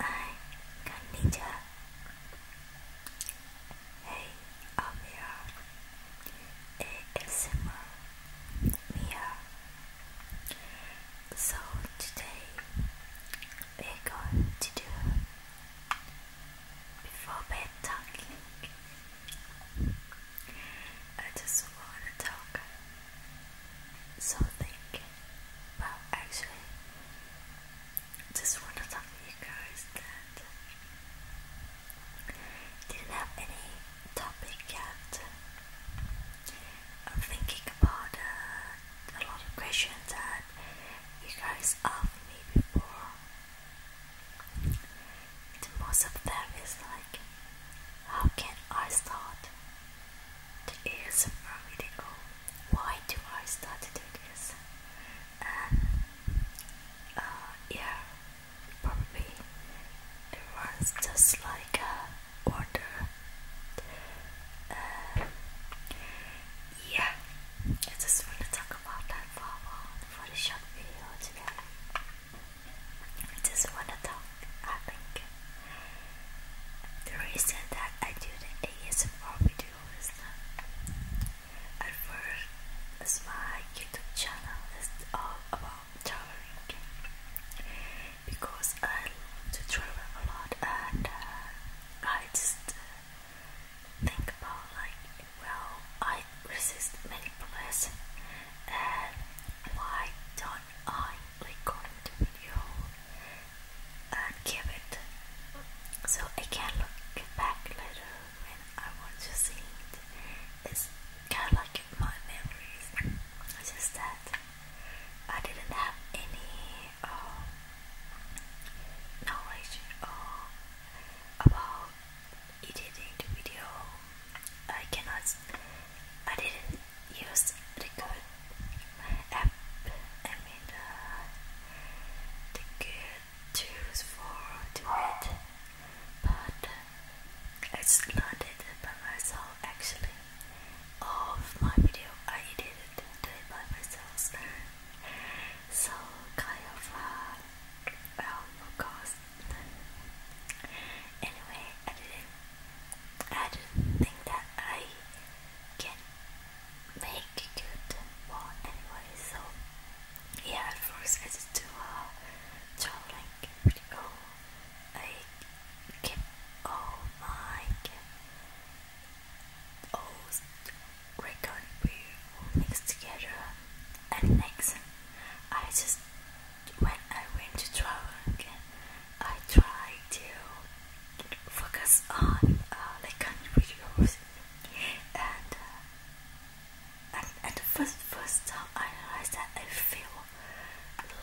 Hi, konnichiwa. Hey, I'm ASMR Mia. So today we're going to do before bed talking. I just wanna talk something, but actually, just wanna talk to you guys that didn't have any topic yet. I'm thinking about uh, a lot of questions. I you guys asked me before. The most of them is like, how can I start the to ASMR video? Why do I start to do this? And uh, yeah, probably it was just like a uh, order. Uh, yeah, I just want to talk about that for the short video today. I just want to talk, I think. The reason that I do the ASMR video is that at first as my YouTube channel is all about traveling because I uh, love to travel a lot and uh, I just uh, think about like, well, I resist many pleasure and why don't I record the video and give it so I can look back later when I want to see it. It's kind of like my memories. just that I didn't have any um, knowledge uh, about editing the video. I cannot. I didn't use the good app. I uh, the good tools for to it, but I just learned it by myself actually of my video. I edited it by myself. So kind of uh well of course. Anyway, I didn't think that I can make good one anyway, so yeah, at first I just do a uh, traveling video I keep all my old record we mix together and next I just when I went to travel again I tried to focus on like country videos and and at the first first time I realized that I feel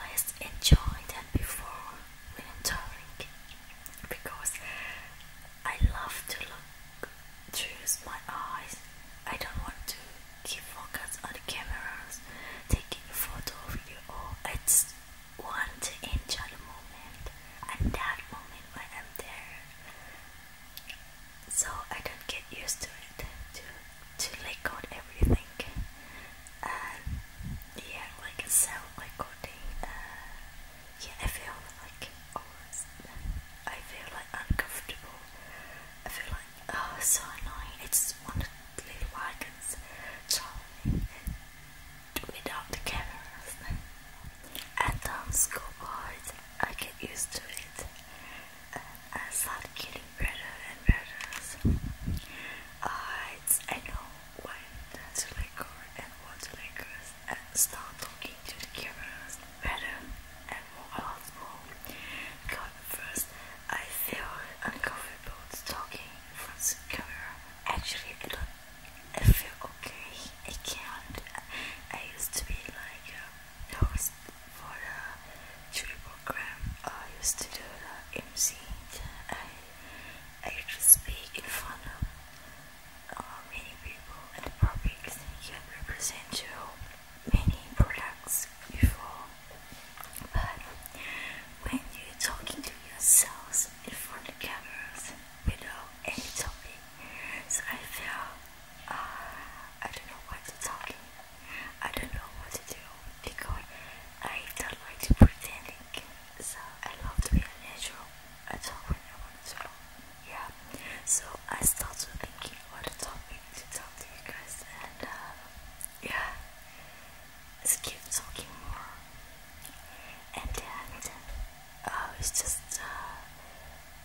less enjoy than before when I'm traveling because I love to look through my eyes. I don't want to keep focus on the cameras, taking a photo or video. Or I just want to enjoy the moment and that moment when I'm there. So I don't get used to it too to like coat everything. and yeah, like self like coating. Uh, yeah, I feel like oh, I feel like uncomfortable. I feel like oh, it's so annoying. I just want to little wagons traveling without the cameras. And on um, school I get used to it. I start getting better and better. I, I know when to let go and what to let go and start talking to the cameras better and more a lot first I feel uncomfortable talking in front of the camera. Actually, I I feel okay. I can't. I used to be like a for a jury program. I used to do the MC. I, I used to speak in front of uh, many people and the public can represent you many products before. But when you're talking to yourselves in front of cameras without any topic, so I feel uh, I don't know what to talk I don't know what to do because I don't like to pretending. So I love to be a natural. I talk when I want to. Yeah. So I started thinking what a topic to talk to you guys and uh, yeah. Let's keep talking more. And then uh, it's just uh,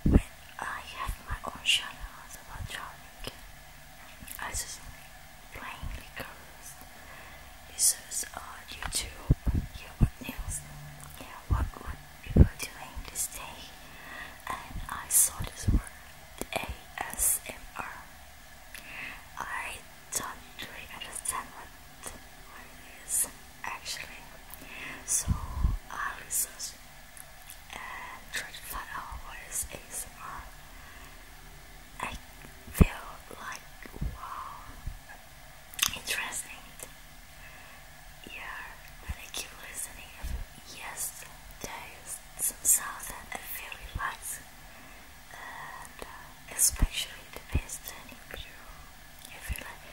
when I have my own channel about traveling. I just playing because this is on YouTube. Yeah, what news? Yeah, what what we were doing this day? And I saw this word ASMR. I don't really understand what it is actually, so I researched and try to find out what is ASMR. I feel like wow, interesting. Yeah, but I keep listening. Yes, there is some sound that I really like, and uh, especially the past turning I feel like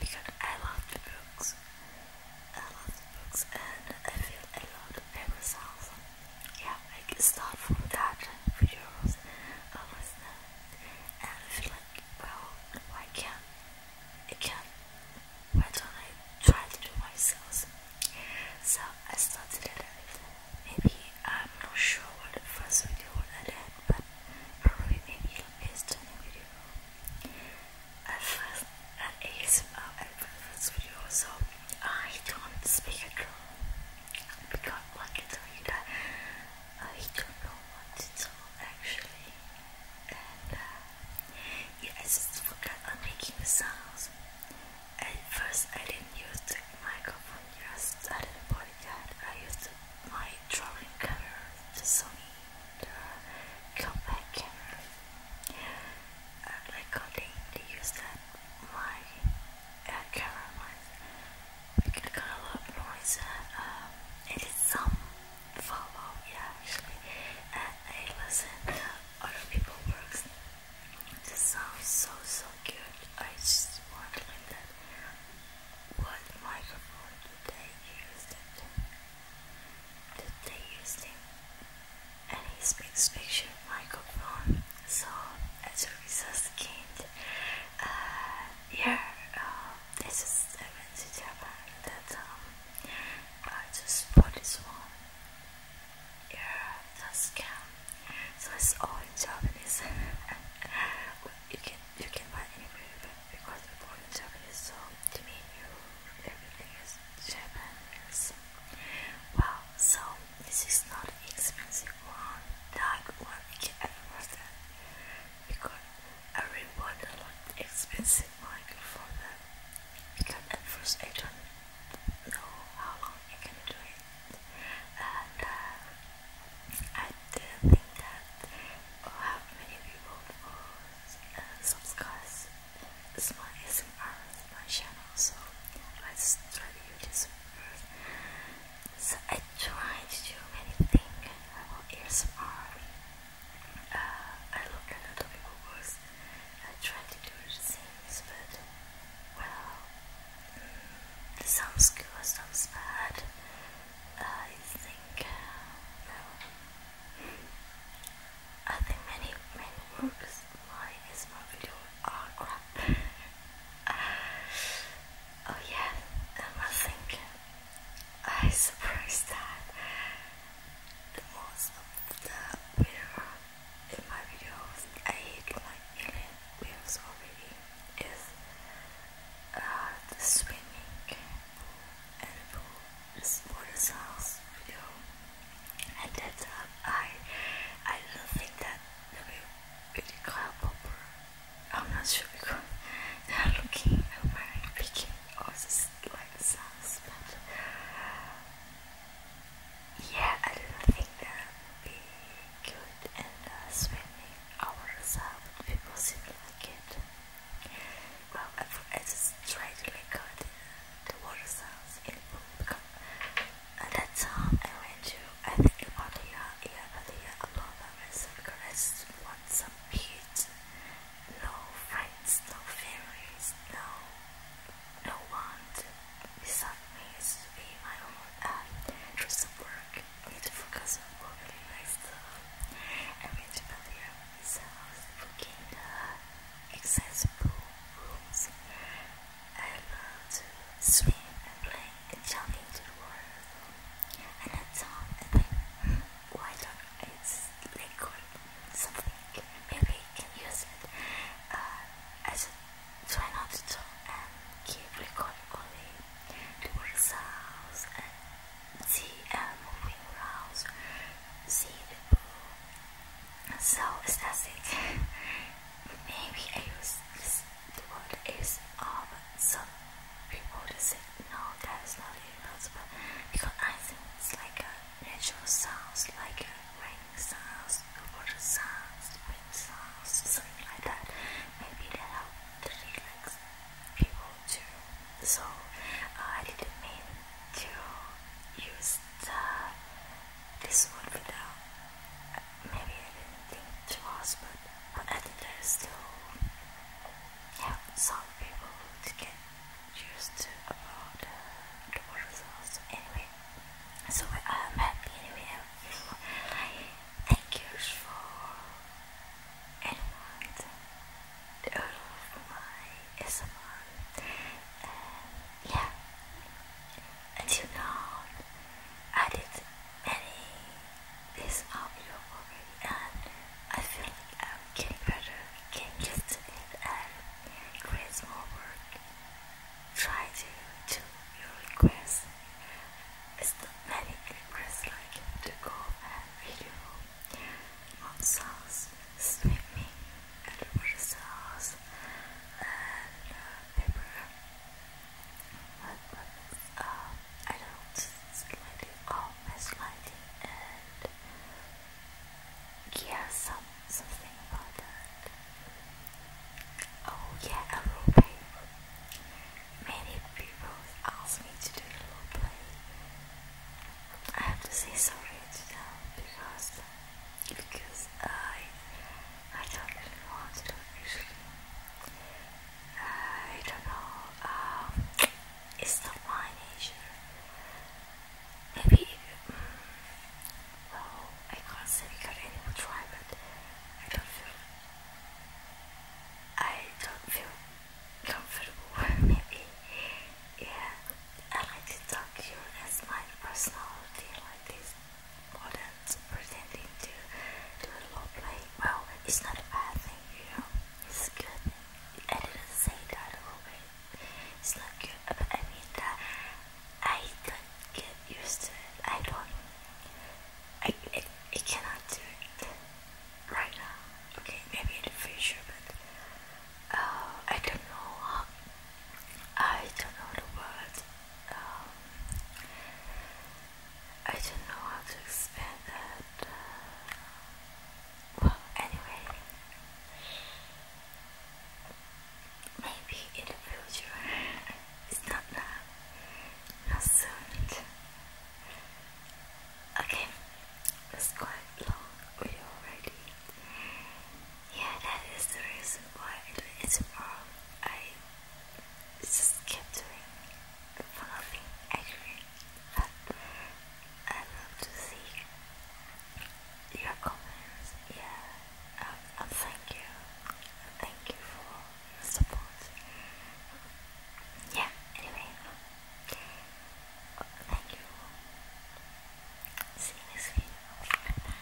because I love the books. I love the books and I feel a lot by myself. Yeah, I can start from that videos I was and I feel like well I can't I can why don't I try to do myself? So I started it maybe I'm not sure what the first video I did but probably maybe it'll be a stunning video at first at ASMR and first video so I don't speak at all because I can tell you I don't know what to talk actually and uh, I just forgot am making the sounds at first I didn't use the microphone I didn't body that I used my drawing camera the Sony come back uh, recording the use that my camera was making a lot of uh, um, follow, yeah, actually. And I listen other people works. This sounds so so good. I just wondering that what microphone did they use that they used him and his big picture microphone. So as a result, kind, uh, yeah, um, this is I went that I just bought this one. Yeah, that's scam. So it's all in Japanese. you can you can buy anywhere, but because the food is so to me, you, everything is Japanese. Wow, so this is not expensive one. That one I can understand because I really want a lot expensive Because at first I don't know how long I can do it, and uh, I didn't think that. Or oh, many people uh, subscribe it's my ASMR my channel so let's try to do this first so I tried to do many things about ASMR uh, I look at other people words I tried to do the things but well mm, this sounds good, sounds bad I think uh, I think many many works my is are crap. Uh, oh yeah, um, I think uh, I surprised that the most of the mirror in my videos I hate my alien videos already is uh, the swimming edible water sounds and that I I don't think that the really cloud popper I'm not sure because they are looking at my picking or just like sounds yeah I don't think that would be good and uh, swimming hours out um, people seem like it. Well, at first I just the water sounds in the at uh, that time I went to, I think about a year, a year a year ago by myself because I want No friends, no fairies, no, no one to beside me is to be my own uh, do some work beautiful cousin really nice though. I went earlier his house booking the accessible rooms. I love to swim and play and jump into the water. And at time I think why don't it's like or something. Maybe I can use it. Uh, I should try not to talk and keep recording only results and see a moving around, see the pool. So aesthetic. Maybe I use this, the word is of some people just say no, that is not impossible. because I think it's like a natural sounds, like a rain sounds, the water sounds, wind sounds, something like that. Maybe that helps the relaxed people too. So uh, I didn't mean to use the, this one without. Uh, maybe I didn't think twice, but but I think there's still yeah some people to get used to about uh, the water So Anyway, so I'm happy anyway. I feel like Thank you for anyone the all of my ASMR and yeah until now I did many this audio already and I feel like I'm getting better, getting used to it and creates more work try to do your request. It's not many requests like to go and video on swimming, and water uh, and paper. But, but uh, I don't slightly off my sliding and yeah, something about that. Oh yeah, a role play. Many people ask me to do a role play. I have to say sorry to them because because I I don't really want to do it usually. I don't know. Um, it's not my nature. Maybe. Mm, well, I can't say we got any will try, but I don't feel I don't feel comfortable maybe. Yeah. I like to talk to you as my personality like this more than pretending to do a role play. Well, it's not a bad thing, you know. It's good. I didn't say that a It's not good, I mean that I couldn't get used to it. I don't. I it, it cannot do it right now. Okay, maybe in the future, but uh, I don't know. How, I don't know the word. Um, I don't know how to explain that. Uh, well, anyway. Maybe in the future. It's not now. Not soon. Okay. It's quite long already. Yeah, that is the reason why it's wrong. I just kept doing nothing But I love to see your comments. Yeah. Um, um, thank you, thank you for your support. Yeah, anyway, thank you. See you next video. Bye.